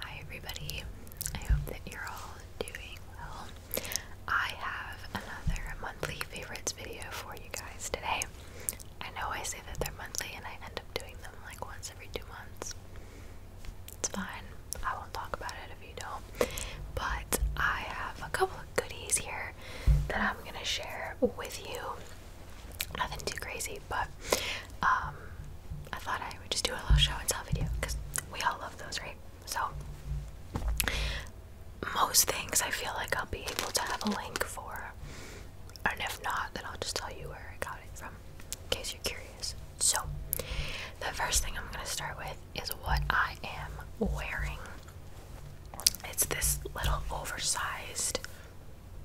Hi, everybody. I hope that you're all doing well. I have another monthly favorites video for you guys today. I know I say that they're monthly and I end up doing them like once every two months, it's fine. I won't talk about it if you don't. But I have a couple of goodies here that I'm gonna share with you. Nothing too crazy, but um, I thought I would just do a little show and tell video because we all love those, right? So most things I feel like I'll be able to have a link for, and if not, then I'll just tell you where I got it from in case you're curious. So, the first thing I'm going to start with is what I am wearing. It's this little oversized,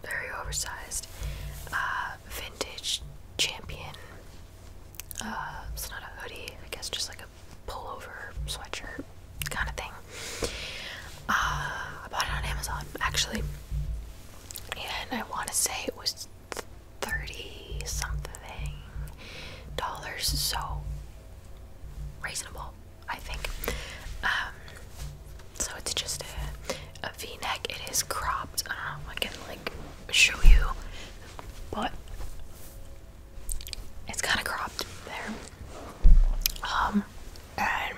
very oversized, uh, vintage champion. Uh, it's not a hoodie, I guess, just like a pullover sweatshirt kind of thing. Uh, I bought it on Amazon actually, and I want to say it was thirty something dollars, so reasonable, I think. Um, so it's just a V a V-neck. It is cropped. I don't know. I can like show you, but it's kind of cropped there. Um, and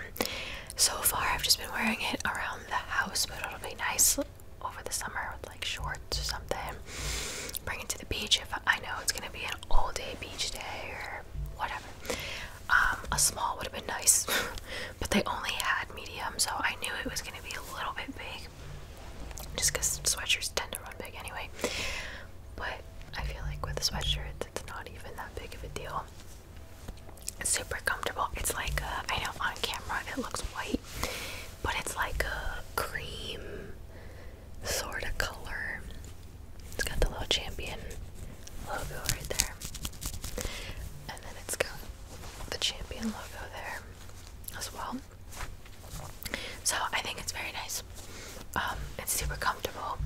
so far I've just been wearing it around the house, but it'll be nice over the summer with like shorts or something. Bring it to the beach if I know it's gonna be an all day beach day or whatever. Um, a small would have been nice, but they only had medium, so I knew it was gonna be a little bit big. Just because sweatshirts tend to run big anyway. But I feel like with a sweatshirt, it's not even that big of a deal. It's super comfortable. It's like I know on camera it looks white, but it's like a cream sort of color. It's got the little champion logo right there. And then it's got the champion logo there as well. So I think it's very nice. Um, it's super comfortable.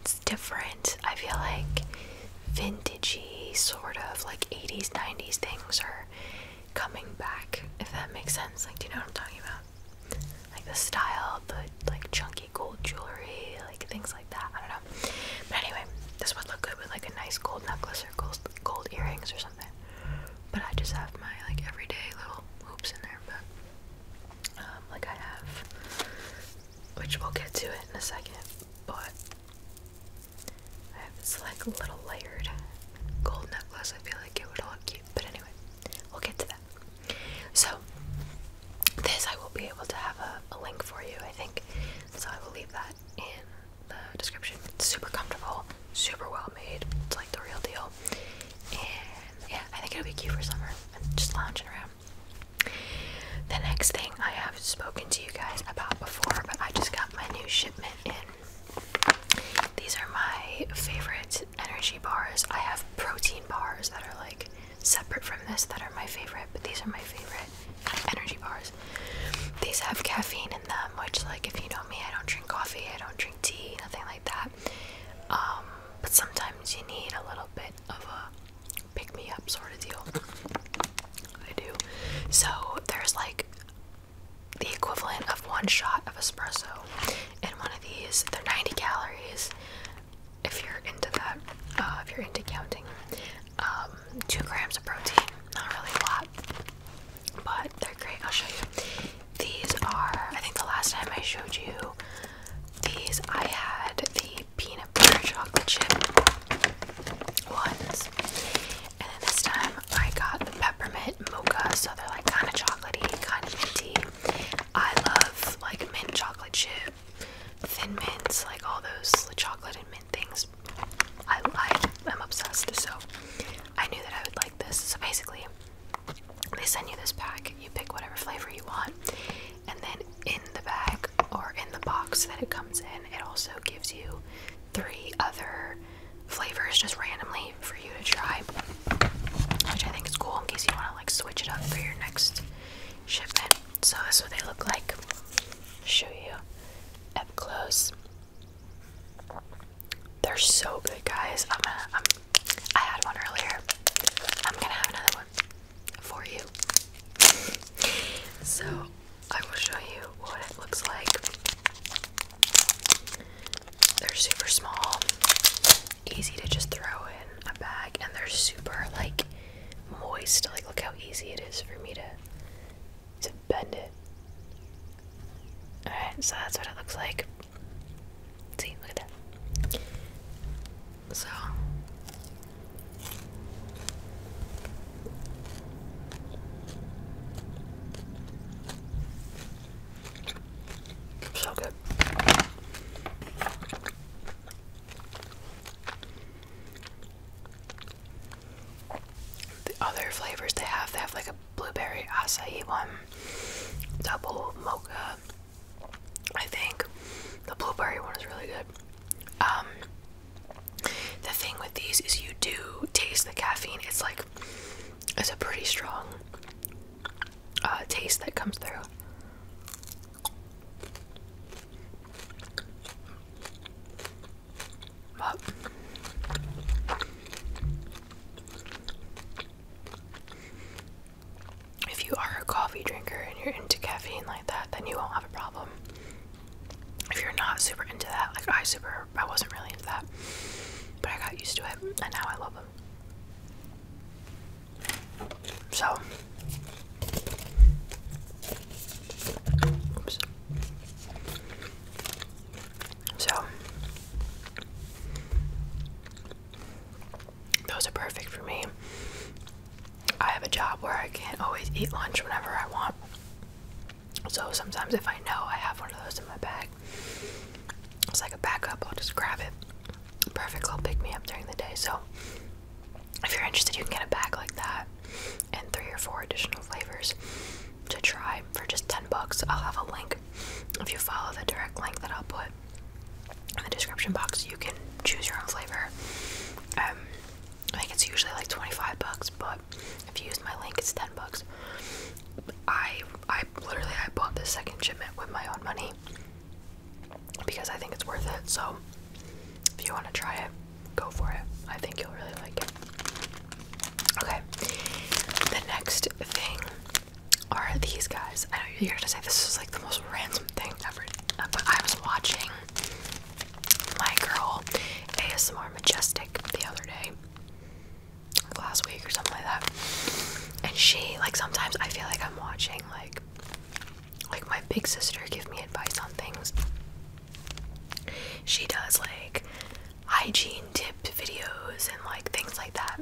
It's different. I feel like vintagey sort of like 80s, 90s things are coming back, if that makes sense. Like, do you know what I'm talking about? Like the style, the like chunky gold jewelry, like things like that. I don't know. But anyway, this would look good with like a nice gold necklace or gold, earrings or something. But I just have my like everyday little hoops in there. But um, like I have, which we'll get to it in a second. But I have this like little layered gold necklace. I feel like it would look but anyway, we'll get to that. So, this I will be able to have a, link for you, I think. So, I will leave that in the description. super comfortable, super well made. It's like the real deal. And yeah, I think it'll be cute for summer. And just lounging around. The next thing I have spoken to you guys about before, but I just got my new shipment in these are my favorite energy bars. I have protein bars that are like separate from this that are my favorite, but these are my favorite energy bars. These have caffeine in them, which like if you know me, I don't drink coffee, I don't drink tea, nothing like that. Um, but sometimes you need a little bit of a pick me up sort of deal. I do. So there's like the equivalent of one shot of espresso in one of these. They're 90 calories if you're into that, uh, if you're into counting. Um, two grams of protein, not really a lot, but they're great. I'll show you. These are, I think the last time I showed you these, I had the peanut butter chocolate chip ones, and then this time I got the peppermint mocha, so they're like kind of chocolatey, kind of minty. I love like mint chocolate chip, thin mints, like all those chocolate and mint things. I, I I'm obsessed, so I knew that I would like this. So basically, they send you this pack. You pick whatever flavor you want, and then in the bag or in the box that it comes in, it also gives you three other flavors just randomly for you to try, which I think is cool in case you want to like switch it up for your next shipment. So that's what they look like. Show you up close. They're so good, guys. I'm gonna. I had one earlier. I'm gonna have another one for you. So I will show you what it looks like. They're super small, easy to just throw in a bag, and they're super like moist. Like, look how easy it is for me to to bend it. All right, so that's what it looks like. See, look at that. So. So good. The other flavors they have, they have like a blueberry acai one, double mocha. I think the blueberry one is really good. Um, the thing with these is you do taste the caffeine. It's like it's a pretty strong uh, taste that comes through. if you are a coffee drinker and you're into caffeine like that, then you won't have a problem. If you're not super into that, like I super, I wasn't really into that, but I got used to it, and now I love it. So, oops. So, those are perfect for me. I have a job where I can't always eat lunch whenever I want. So sometimes if I know I have one of those in my bag, it's like a backup. I'll just grab it. Perfect little pick me up during the day. So if you're interested, you can get a bag like that and three or four additional flavors to try for just 10 bucks. I'll have a link if you follow the direct link that I'll put in the description box. You can choose your own flavor. Um, I think it's usually like 25 bucks, but if you use my link, it's 10 bucks. I I literally I bought this second shipment with my own money because I think it's worth it. So if you want to try it, go for it. I think you'll really like it. Okay. The next thing are these guys. I know you're gonna say this is like the most random thing ever, but I was watching my girl ASMR Majestic the other day last week or something like that. And she like sometimes I feel like I'm watching like like my big sister give me advice on things. She does like hygiene tip videos and like things like that.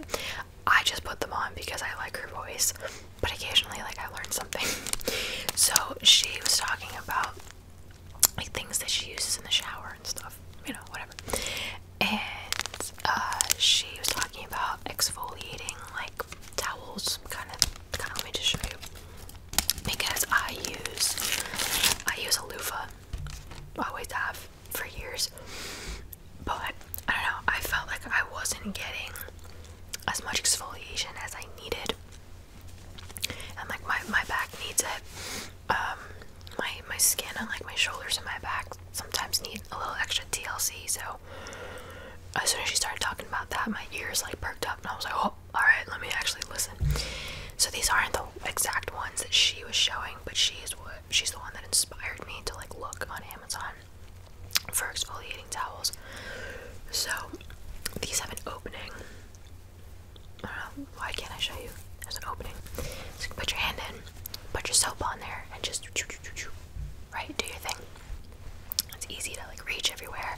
I just put them on because I like her voice, but occasionally like I learn something. So she was talking about like things that she uses in the shower and stuff, you know, whatever and uh, she was talking about exfoliating like towels, kind of. Kind of let me just show you because I use I use a loofah. I always have for years, but I don't know. I felt like I wasn't getting as much exfoliation as I needed, and like my my back needs it. Um, my my skin and like my shoulders and my back sometimes need a little extra TLC. So as soon as she started talking about that, my ears like perked up, and I was like, oh, all right, let me actually listen. So these aren't the exact ones that she was showing, but she's what she's the one that inspired me to like look on Amazon for exfoliating towels. So these have an opening. why can't I show you? There's an opening. you can put your hand in, put your soap on there, and just right, do your thing. It's easy to like reach everywhere,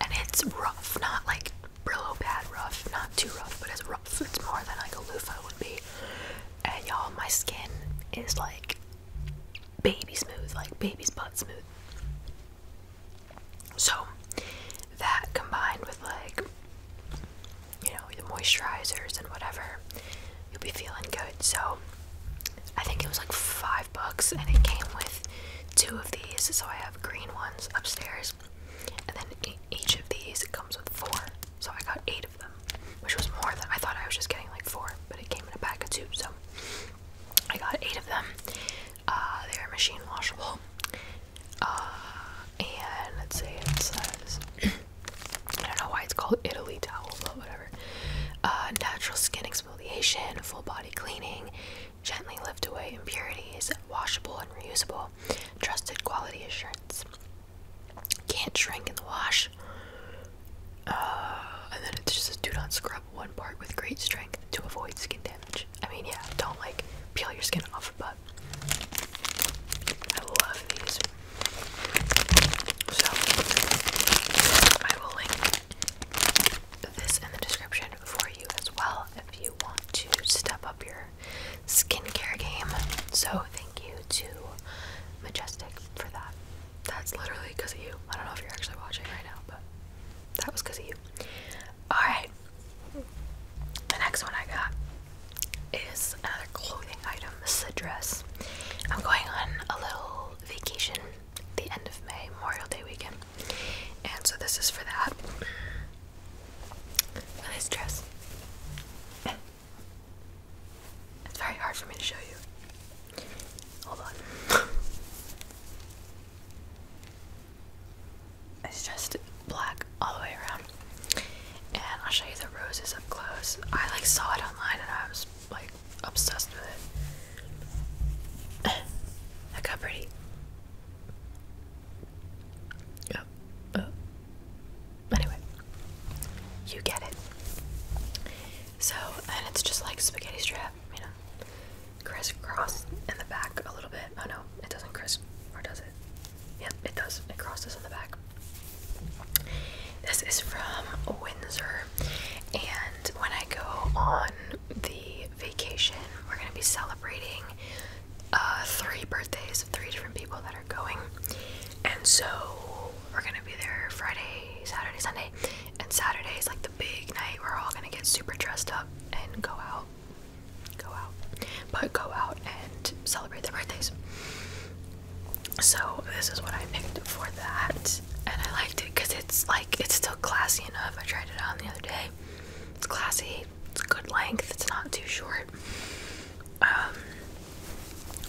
and it's rough, not like Brillo bad rough, not too rough, but it's rough. It's more than like a loofa would be. And y'all, my skin is like baby smooth, like baby's butt smooth. So that combined with like you know, the moisturizers and whatever, you'll be feeling good. So I think it was like five bucks and it came with two of these. So I have green ones upstairs. And then each of these comes with four. So I got eight of them, which was more than I thought I was just getting like four, but it came in a pack of two. So I got eight of them. Uh, they are machine washable. Uh, and let's see, it says I don't know why it's called Italy towel, but whatever. Uh, natural skin exfoliation, full body cleaning, gently lift away impurities, washable and reusable, trusted quality assurance. Can't shrink in the wash. Uh, and then it's just do not scrub one part with great strength to avoid skin damage. I mean, yeah, don't like peel your skin off, but I love these. So I will link this in the description for you as well if you want to step up your skincare game. So thank you to Majestic for that. That's literally because of you. I don't know if you're actually watching right now, but that was because of you. Alright. The next one I got is another clothing item. This is a dress. I'm going on a little vacation the end of May, Memorial Day weekend. And so this is for that. this dress. It's very hard for me to show you. Hold on. it's just black all the way around and I'll show you the roses up close. I like saw it online and I was like obsessed with it. Look how pretty. Oh, oh. Anyway, you get it. So, and it's just like spaghetti strap, you know, crisscross in the back a little bit. Oh no, it doesn't criss, or does it? Yep, it does. It crosses in the back. This is from Windsor, and when I go on the vacation, we're going to be celebrating uh, three birthdays of three different people that are going. And so we're going to be there Friday, Saturday, Sunday, and Saturday is like the big night. We're all going to get super dressed up and go out. Go out. But go out and celebrate their birthdays. So this is what I picked for that, and I liked it because it's like it's still classy enough. I tried it on the other day. It's classy. It's good length. It's not too short. Um,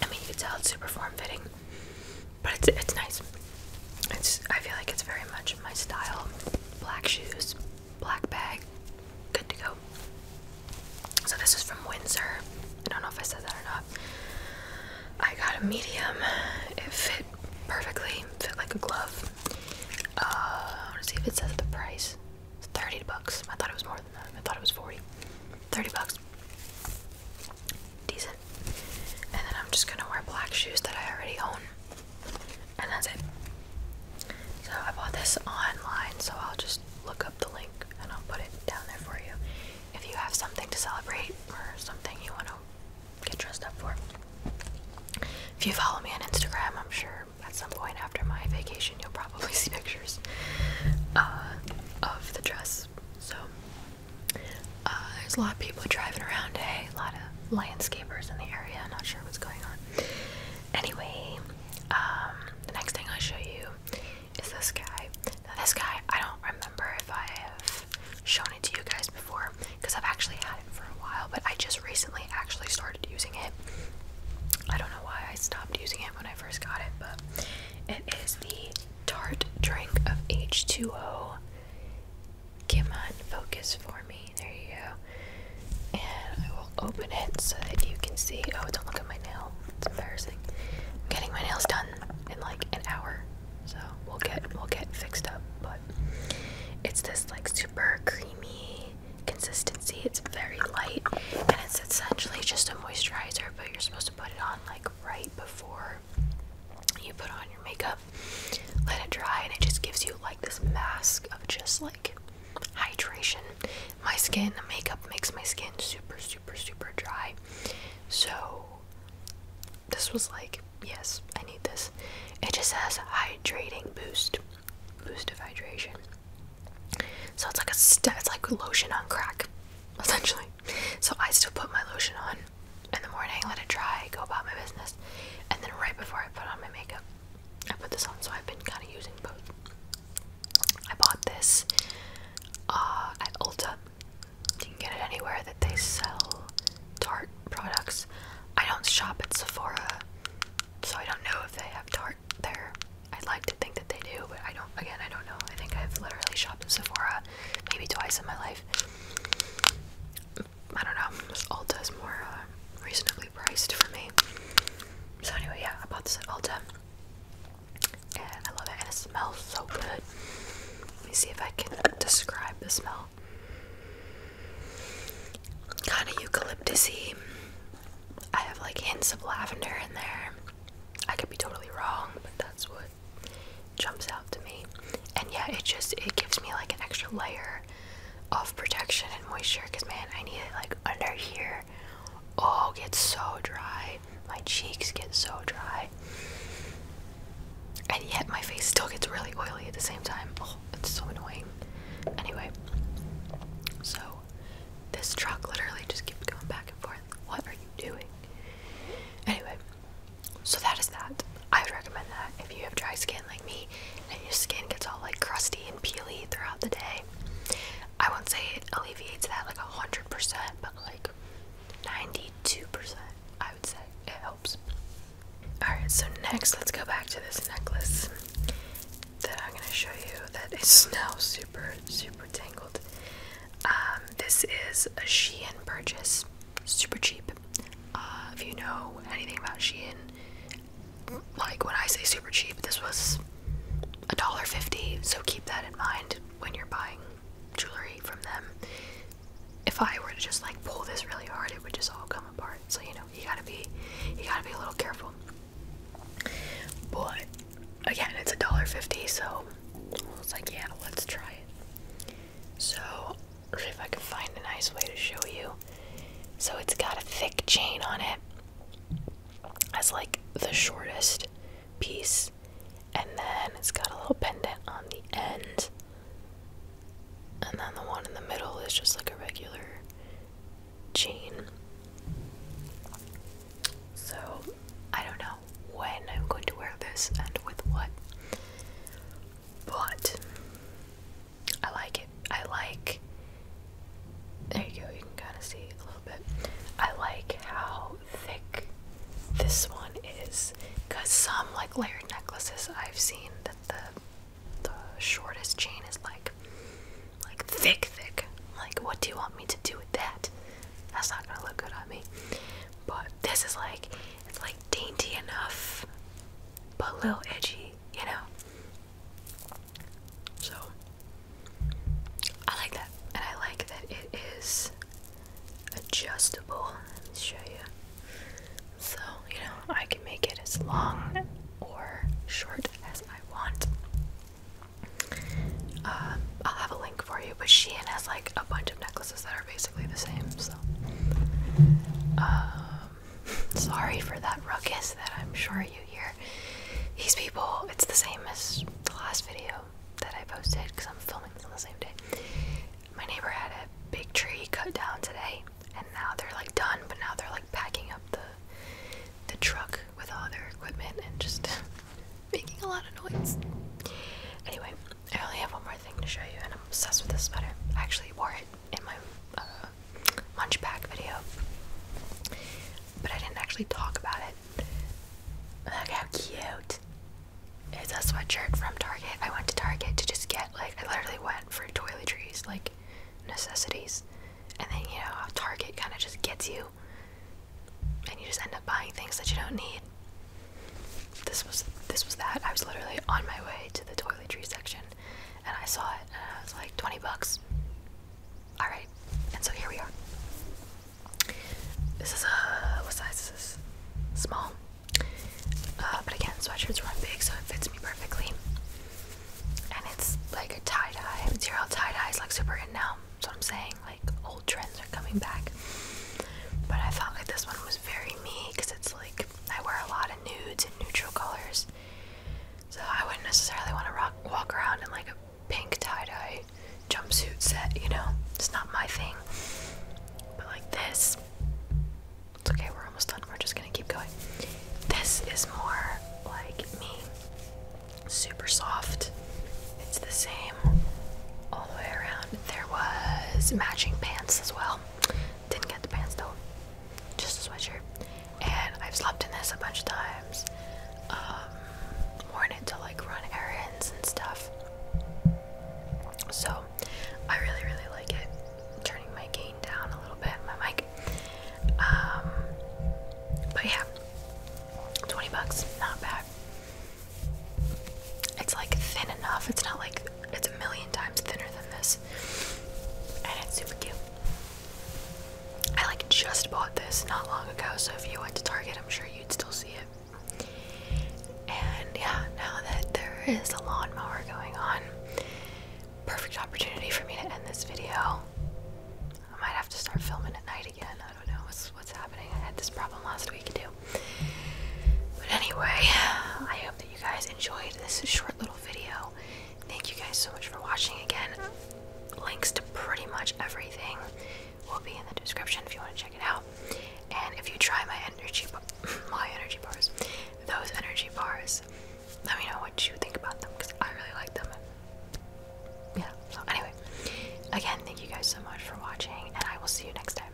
I mean, you could tell it's super form fitting, but it's it's nice. It's I feel like it's very much my style. Black shoes, black bag, good to go. So this is from Windsor. I don't know if I said that or not. I got a medium. It fit perfectly. Fit like a glove. Uh, I let's see if it says the price. 30 bucks. I thought it was more than that. I thought it was 40. 30 bucks. Decent. And then I'm just gonna wear black shoes that I already own. And that's it. So I bought this online, so I'll just look up the link and I'll put it down there for you if you have something to celebrate or something you want to get dressed up for. If you follow me on Instagram, I'm sure at some point after my vacation you'll probably see pictures uh, of the dress. So uh, there's a lot of people driving around a lot of landscapers in the area. Not sure what's going on. Anyway, um, the next thing I will show you is this guy. this guy, I don't remember if I have shown it to you guys before because I've actually had it for a while, but I just recently actually started using it. I don't know why I stopped using it when I first got it, but it is the Tart Drink of H2O. Come on, focus for me. There you go. And I will open it so that you can see. Oh, don't look at my nail. It's embarrassing. I'm getting my nails done in like an hour. So we'll get we'll get fixed up, but it's this like super creamy consistency. It's very light and it's essentially just a moisturizer, but you're supposed to put it on like right before you put on your makeup. Let it dry and it just gives you like this mask of just like hydration. My skin, the makeup makes my skin super super, super dry. So, this was like, yes, I need this. It just says hydrating boost, boost of hydration. So it's like a it's like lotion on crack, essentially. So I still put my lotion on in the morning, let it dry, go about my business, and then right before I put on my makeup, I put this on. So I've been kind of using both. I bought this uh, at Ulta. You can get it anywhere that they sell Tarte products. I don't shop at Sephora, so I don't know if they have Tarte there. I'd like to think that they do, but I don't, again, I don't know. I think I've literally shopped at Sephora maybe twice in my life. I don't know, Ulta is more uh, reasonably priced for me. So, anyway, yeah, I bought this at Ulta. Yeah, I love it, and it smells so good. Let me see if I can describe the smell. Kind of eucalyptusy. I have like hints of lavender in there. I could be totally wrong, but that's what jumps out to me. And yeah, it just it gives me like an extra layer of protection and moisture because man, I need it like under here. Oh, it gets so dry. My cheeks get so dry. And yet my face still gets really oily at the same time. Oh, it's so annoying. Anyway, so this truck literally just keeps going back and forth. What are you doing? Anyway, so that is that. I would recommend that if you have dry skin like me and your skin gets all like crusty and peely throughout the day. I won't say it alleviates that like a hundred percent, but like 92%, I would say it helps. Alright, so next let's go back to this necklace that I'm going to show you that is now super, super tangled. Um, this is a Shein purchase, super cheap. Uh, if you know anything about Shein, like when I say super cheap, this was a dollar fifty. So keep that in mind when you're buying jewelry from them. If I were to just like pull this really hard, it would just all come apart. So you know, you gotta be, you gotta be a little careful. But again, it's a dollar fifty, so it's like, yeah, let's try it. So if I can find a nice way to show you, so it's got a thick chain on it. As like the shortest piece and then it's got a little pendant on the end, and then the one in the middle is just like a regular chain. So, I don't know when I'm going to wear this and with what, but I like it. I like. There you go, you can kind of see a little bit. I like how thick this one is because some like layered necklaces I've seen that the the shortest chain is like like thick thick like what do you want me to do with that that's not gonna look good on me but this is like it's like dainty enough but a little edgy you know so I like that and I like that it is adjustable. Let me show you. So, you know, I can make it as long or short as I want. Um, I'll have a link for you, but Shein has like a bunch of necklaces that are basically the same, so. Um, sorry for that ruckus that I'm sure you hear. These people, it's the same as the last video, that I posted because I'm filming on the same day. My neighbor had a big tree cut down today, and now they're like done, but now they're like packing up the the truck with all their equipment and just making a lot of noise. Anyway, I only have one more thing to show you, and I'm obsessed with this sweater. I actually wore it in my uh, lunch pack video, but I didn't actually talk about it. Look how cute! It's a sweatshirt from Target. I went to Target to just get like I literally went for toiletries, like necessities. And then you know Target kinda just gets you and you just end up buying things that you don't need. This was this was that. I was literally on my way to the toiletry section and I saw it and I was like 20 bucks. Alright, and so here we are. This is a what size This is Small. Uh, but again, sweatshirts run big, so it fits me perfectly. And it's like a tie dye material. Tie dye is like super in now. So I'm saying. Like old trends are coming back. But I felt like this one was very me because it's like I wear a lot of nudes and neutral colors. So I wouldn't necessarily want to rock, walk around in like a pink tie dye jumpsuit set, you know? It's not my thing. But like this, it's okay, we're almost done. We're just gonna keep going. This is more like me. Super soft. It's the same all the way around. There was matching pants as well. Didn't get the pants though, just a sweatshirt. And I've slept in this a bunch of times. Um, worn to like run errands and stuff. So I really, really like it. Turning my gain down a little bit, my mic. Um, but yeah, 20 bucks, not bad. It's like thin enough. It's not like it's a million times thinner than this. And it's super cute. I like just bought this not long ago, so if you went to Target, I'm sure you'd still see it. And yeah, now that there is a lawnmower going on, perfect opportunity for me to end this video. I might have to start filming at night again. I don't know what's what's happening. I had this problem last week too. But anyway, I hope that you guys enjoyed this short little video. Thank you guys so much for watching again. Links to pretty much everything will be in the description if you want to check it out. And if you try my energy, my energy bars, those energy bars, let me know what you think about them because I really like them. Yeah. anyway, again, thank you guys so much for watching, and I will see you next time.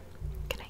Good